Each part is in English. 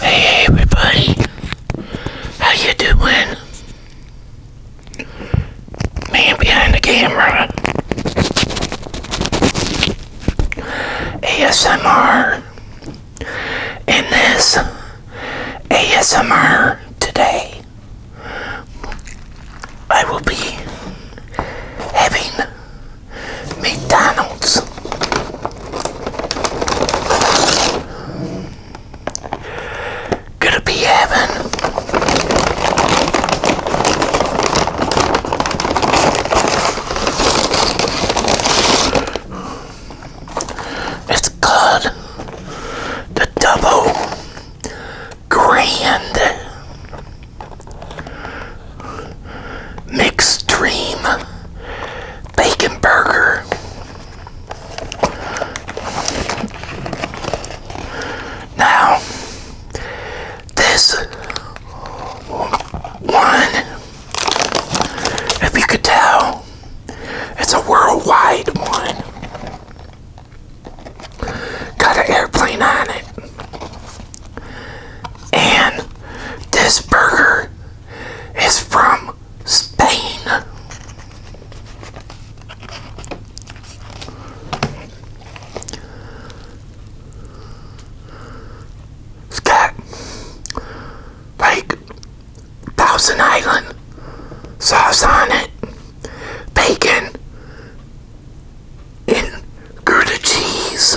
Hey everybody, how you doing? Man behind the camera. ASMR. In this ASMR today, I will be having McDonald's. Gonna be having it's called the double grand mixed dream bacon burger. Now, this one, if you could tell, it's a worldwide one got an airplane on it. And this burger is from Spain. Scott, has Thousand Island sauce on it bacon, in Gouda cheese.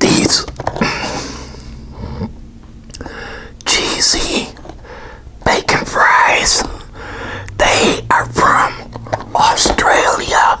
these cheesy bacon fries. They are from Australia.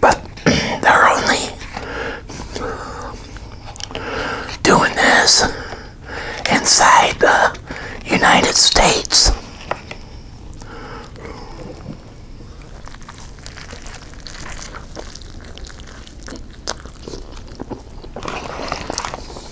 But they're only doing this inside the United States.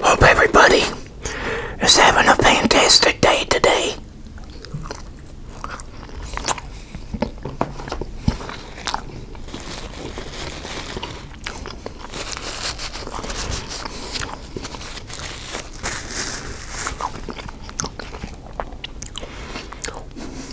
Hope everybody is having a fantastic day today.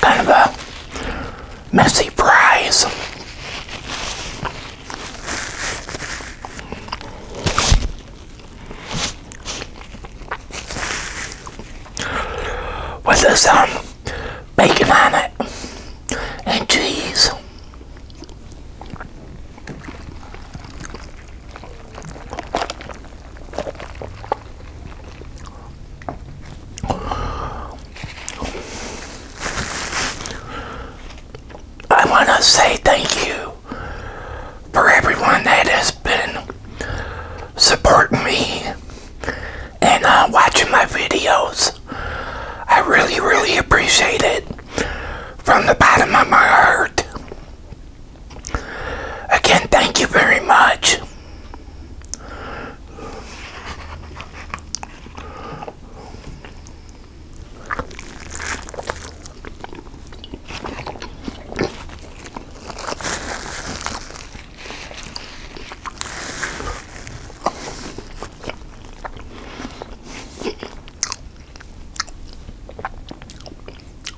Kind of a messy prize. With some um, bacon on it and cheese. I want to say thank you for everyone that has been supporting me and uh, watching my videos. I really, really appreciate it from the bottom of my heart. Again, thank you very much.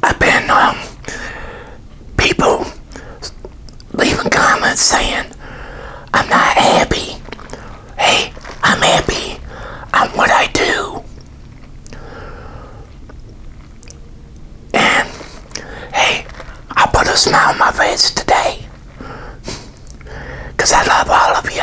I've been um people leaving comments saying I'm not happy. Hey, I'm happy I'm what I do. And hey, I put a smile on my face today. Because I love all of you.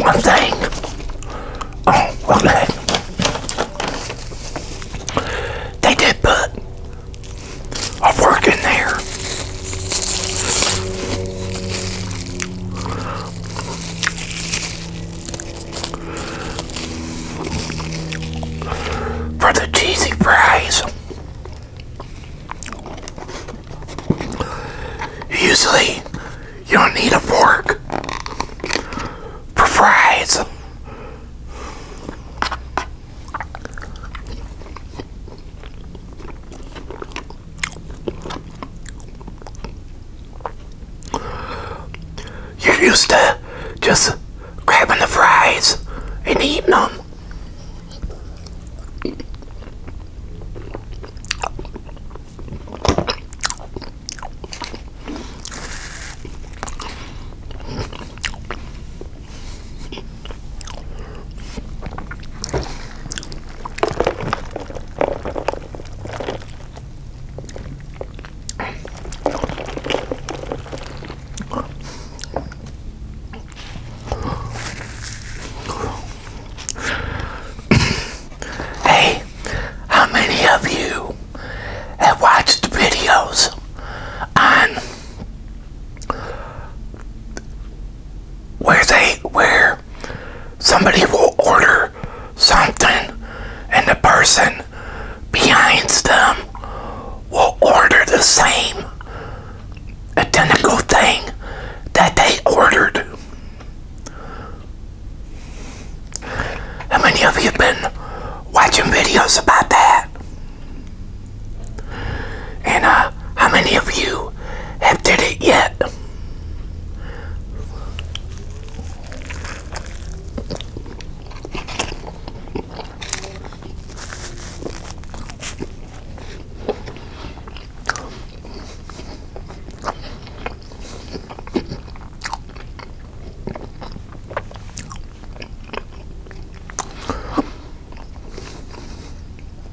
One thing. Oh, okay. They did put a work in there for the cheesy fries. Usually, you don't need a fork for fries. You're used to just grabbing the fries and eating them hey, how many of you have watched the videos on where they where somebody will order something and the person behind them will order the same identical thing that they ordered. How many of you have been watching videos about that? And uh, how many of you have did it yet?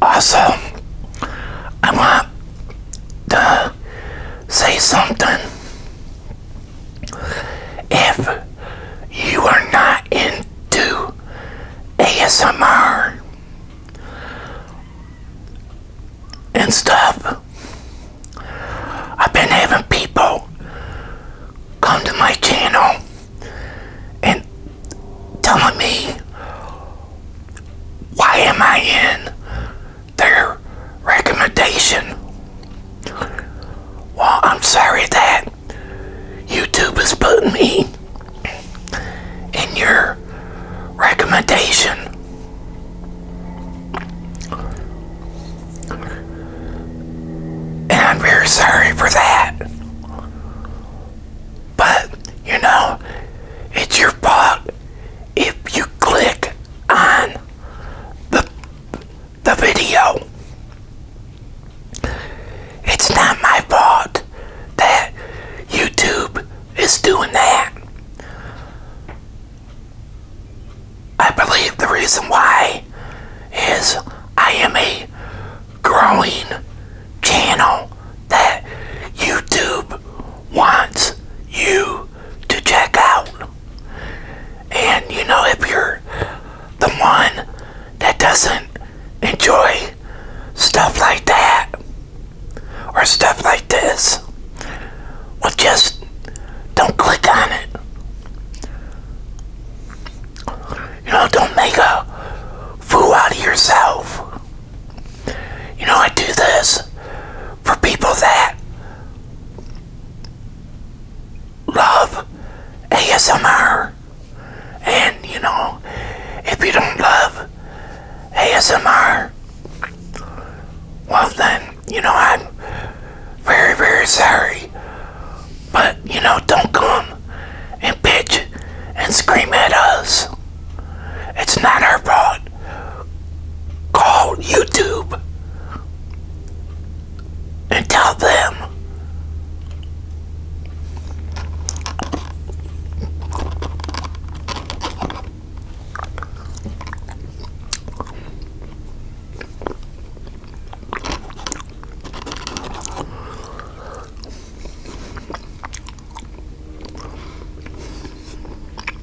Also, I want to say something if you are not into ASMR and stuff, I've been having people come to my channel and telling me why am I in their recommendation. Well, I'm sorry that YouTube is putting me in your recommendation. And I'm very sorry for that. But, you know, it's your fault if you click on the the video. It's not my fault that YouTube is doing that. I believe the reason why is I am a growing channel that YouTube wants you to check out. And you know, if you're the one that doesn't enjoy stuff like that or stuff like this, well, just don't click on it. You know, don't make a fool out of yourself. You know, I do this for people that love ASMR. And, you know, if you don't love ASMR, well then, you know, I'm very, very sorry. But, you know, don't come and bitch and scream at us. It's not our fault call YouTube and tell them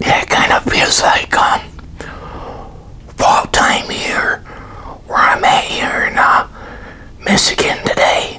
Yeah, it kind of feels like um, fall time here where I'm at here in uh, Michigan today.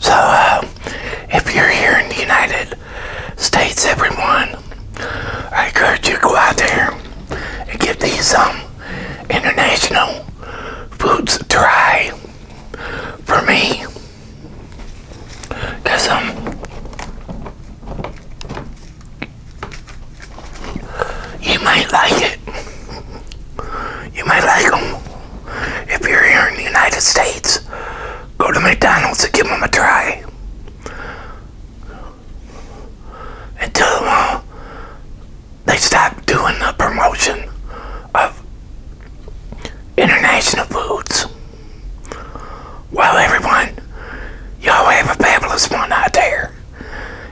So, uh, if you're here in the United States, everyone, I encourage you to go out there and give these um, international foods a try for me because I'm you might like it. You might like them. If you're here in the United States, go to McDonald's and give them a try. And tell them uh, they stop doing the promotion of international foods. Well, everyone, y'all have a fabulous one out there.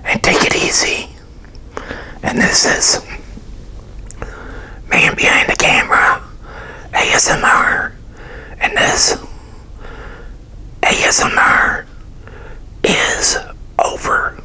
And take it easy. And this is Man Behind the Camera ASMR. And this ASMR is over.